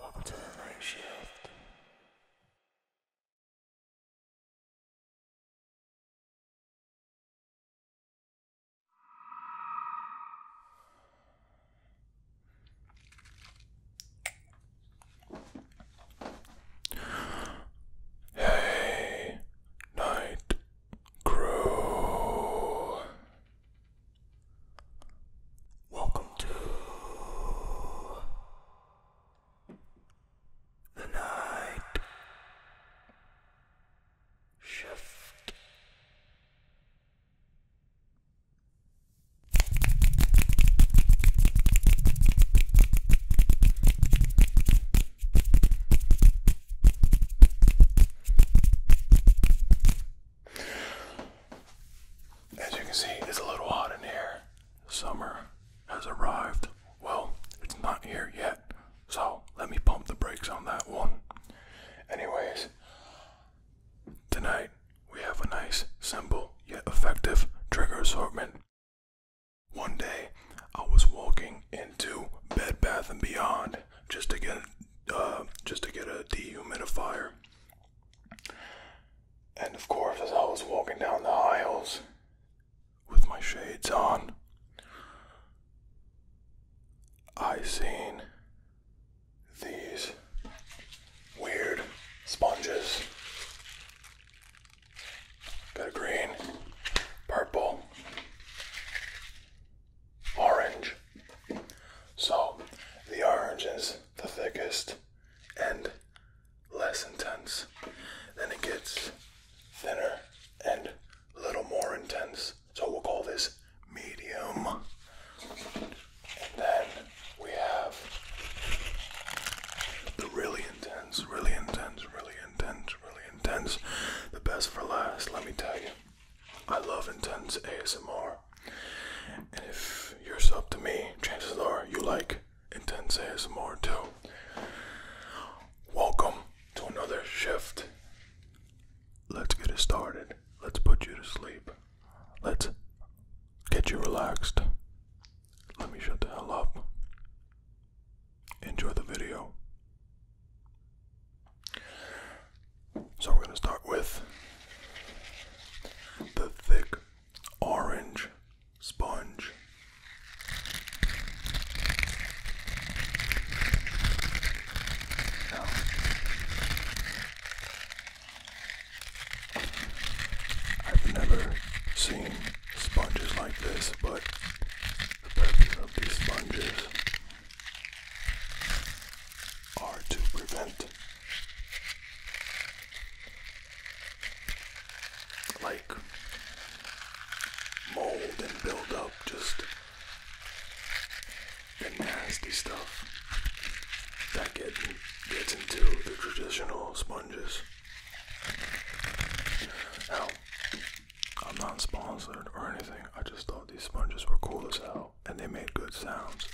Welcome to the night shift. Hey, night crew. Welcome to the night shift. As you can see, it's a little hot in here. Summer has arrived. Well, it's not here yet, so let me pump the brakes on that one. Anyways, tonight we have a nice, simple yet effective trigger assortment. One day, I was walking into Bed Bath and Beyond just to get uh, just to get a dehumidifier, and of course, as I was walking down the aisles with my shades on, I seen these weird sponges Got a green, purple, orange. So the orange is the thickest and less intense. Then it gets thinner and a little more intense. So we'll call this medium. And then we have the really intense, really intense, really intense intense, really intense. The best for last, let me tell you. I love intense ASMR. And if you're up to me, chances are you like intense ASMR too. Welcome to another shift. Let's get it started. Let's put you to sleep. Let's get you relaxed. Let me shut the hell up enjoy the video. So we're going to start with the thick orange sponge. I've never seen sponges like this, but the purpose of these sponges are to prevent like mold and build just the nasty stuff that get, gets into the traditional sponges. I'm not sponsored or anything. I just thought these sponges were cool as hell and they made good sounds.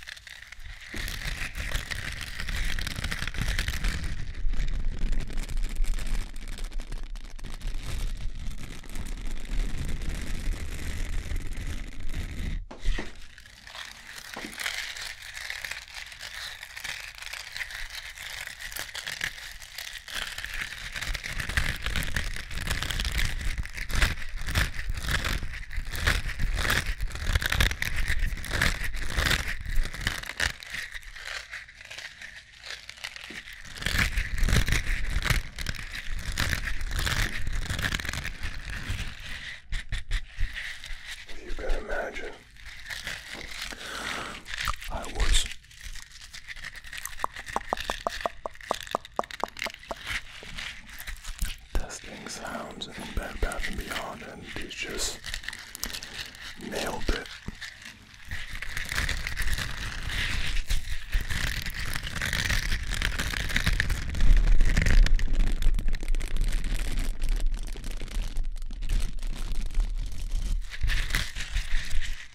If You can imagine I was Testing sounds in Bed Bath and Beyond, and he's just nailed it.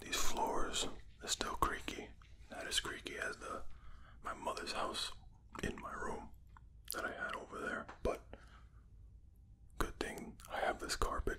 These floors it's still creaky. Not as creaky as the my mother's house in my room that I had over there. But good thing I have this carpet.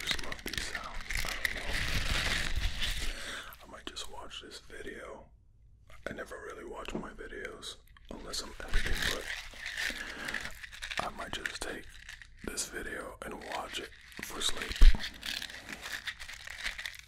just love these sounds. I don't know. I might just watch this video. I never really watch my videos unless I'm editing, but I might just take this video and watch it for sleep.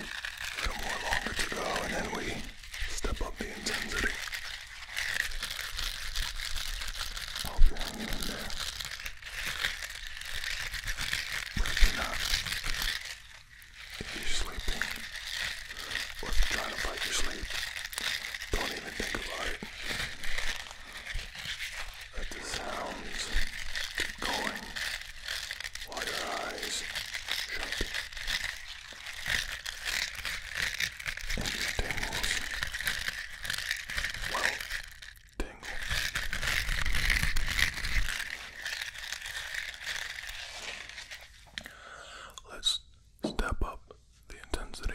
A little more longer to go, and then we Step up the intensity. Hope you're in there. But if you're not, if you're sleeping, or trying to fight your sleep, don't even think about it. Let the sounds keep going while your eyes shut. And these tingles, well, tingle. Let's step up the intensity.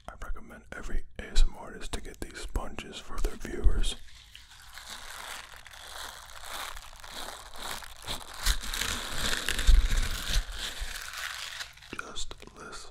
I recommend every ASM artist to get these sponges for their viewers. Just listen.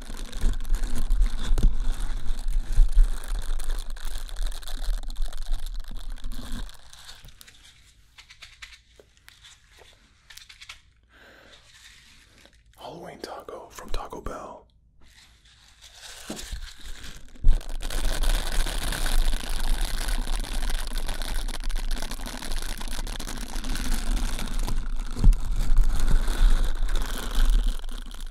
Halloween taco from Taco Bell.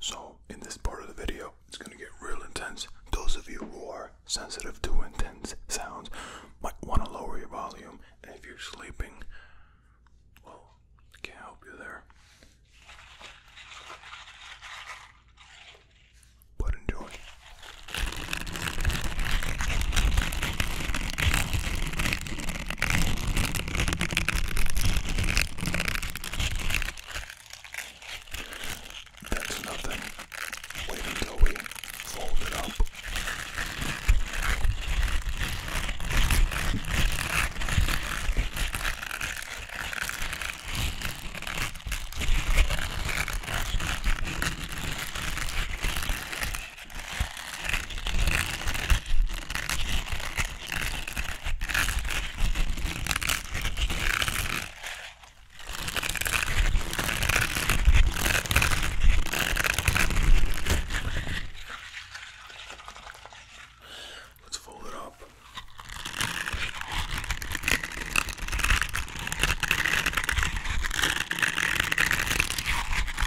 So, in this part of the video, it's gonna get real intense. Those of you who are sensitive to intense sounds might wanna lower your volume, and if you're sleeping, well, can't help you there. But enjoy. That's nothing. Wait until we fold it up. Let's fold it up.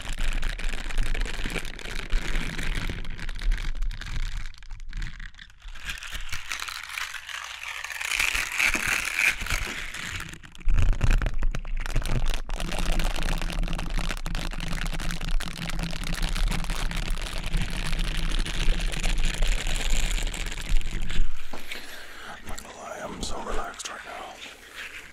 I'm not gonna lie, I'm so relaxed right now.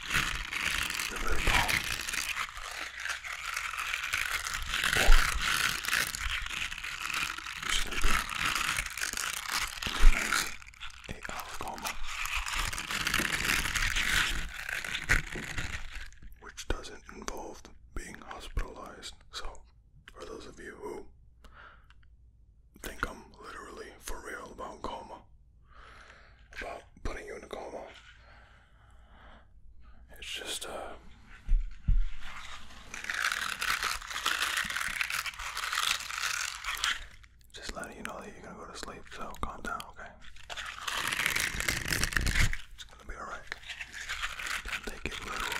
the coma. Which doesn't involve being hospitalized. So, for those of you who think I'm literally for real about coma, about putting you in a coma. It's just, uh. Just letting you know that you're gonna go to sleep, so calm down, okay? It's gonna be alright. take it literal.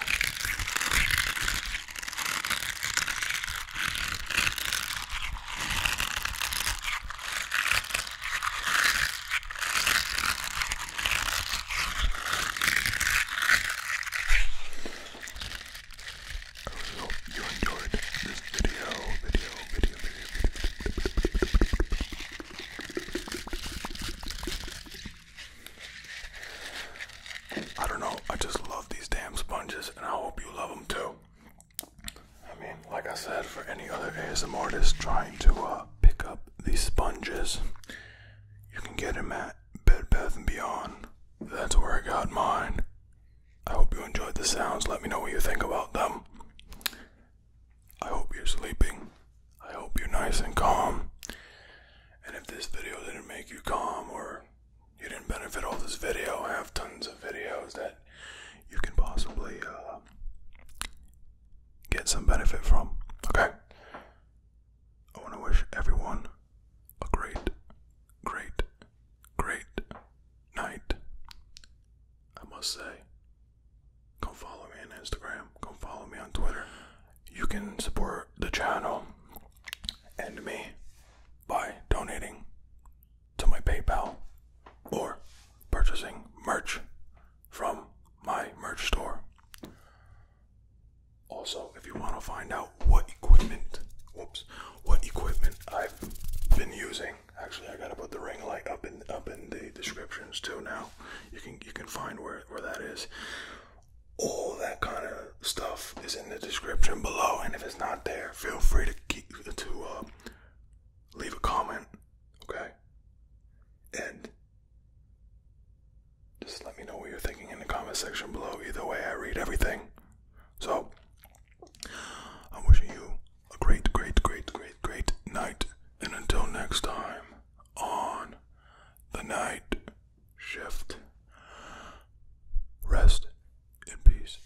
I hope you enjoyed this video, video, video, video, I don't know, I just love these damn sponges and I hope you love them too. I mean, like I said, for any other ASM artist trying to uh, pick up these sponges, you can get them at Bed Bath & Beyond. That's where I got mine. I hope you enjoyed the sounds. Let me know what you think about them. I hope you're sleeping. I hope you're nice and calm. And if this video didn't make you calm or you didn't benefit all this video, I have tons of videos that you can possibly uh, get some benefit from. Okay? I want to wish everyone a great, great, great night. I must say, come follow me on Instagram, come follow me on Twitter. You can support the channel and me by donating to my PayPal or purchasing merch from my merch store. Also, if you want to find out what equipment, whoops, what equipment I've been using, actually I gotta put the ring light up in up in the descriptions too. Now you can you can find where where that is. All that kind of stuff is in the description below, and if it's not there, feel free to keep, to uh, leave a comment, okay? And just let me know what you're thinking in the comment section below. Either way, I read everything. So, I'm wishing you a great, great, great, great, great night. And until next time, on the night shift, rest in peace.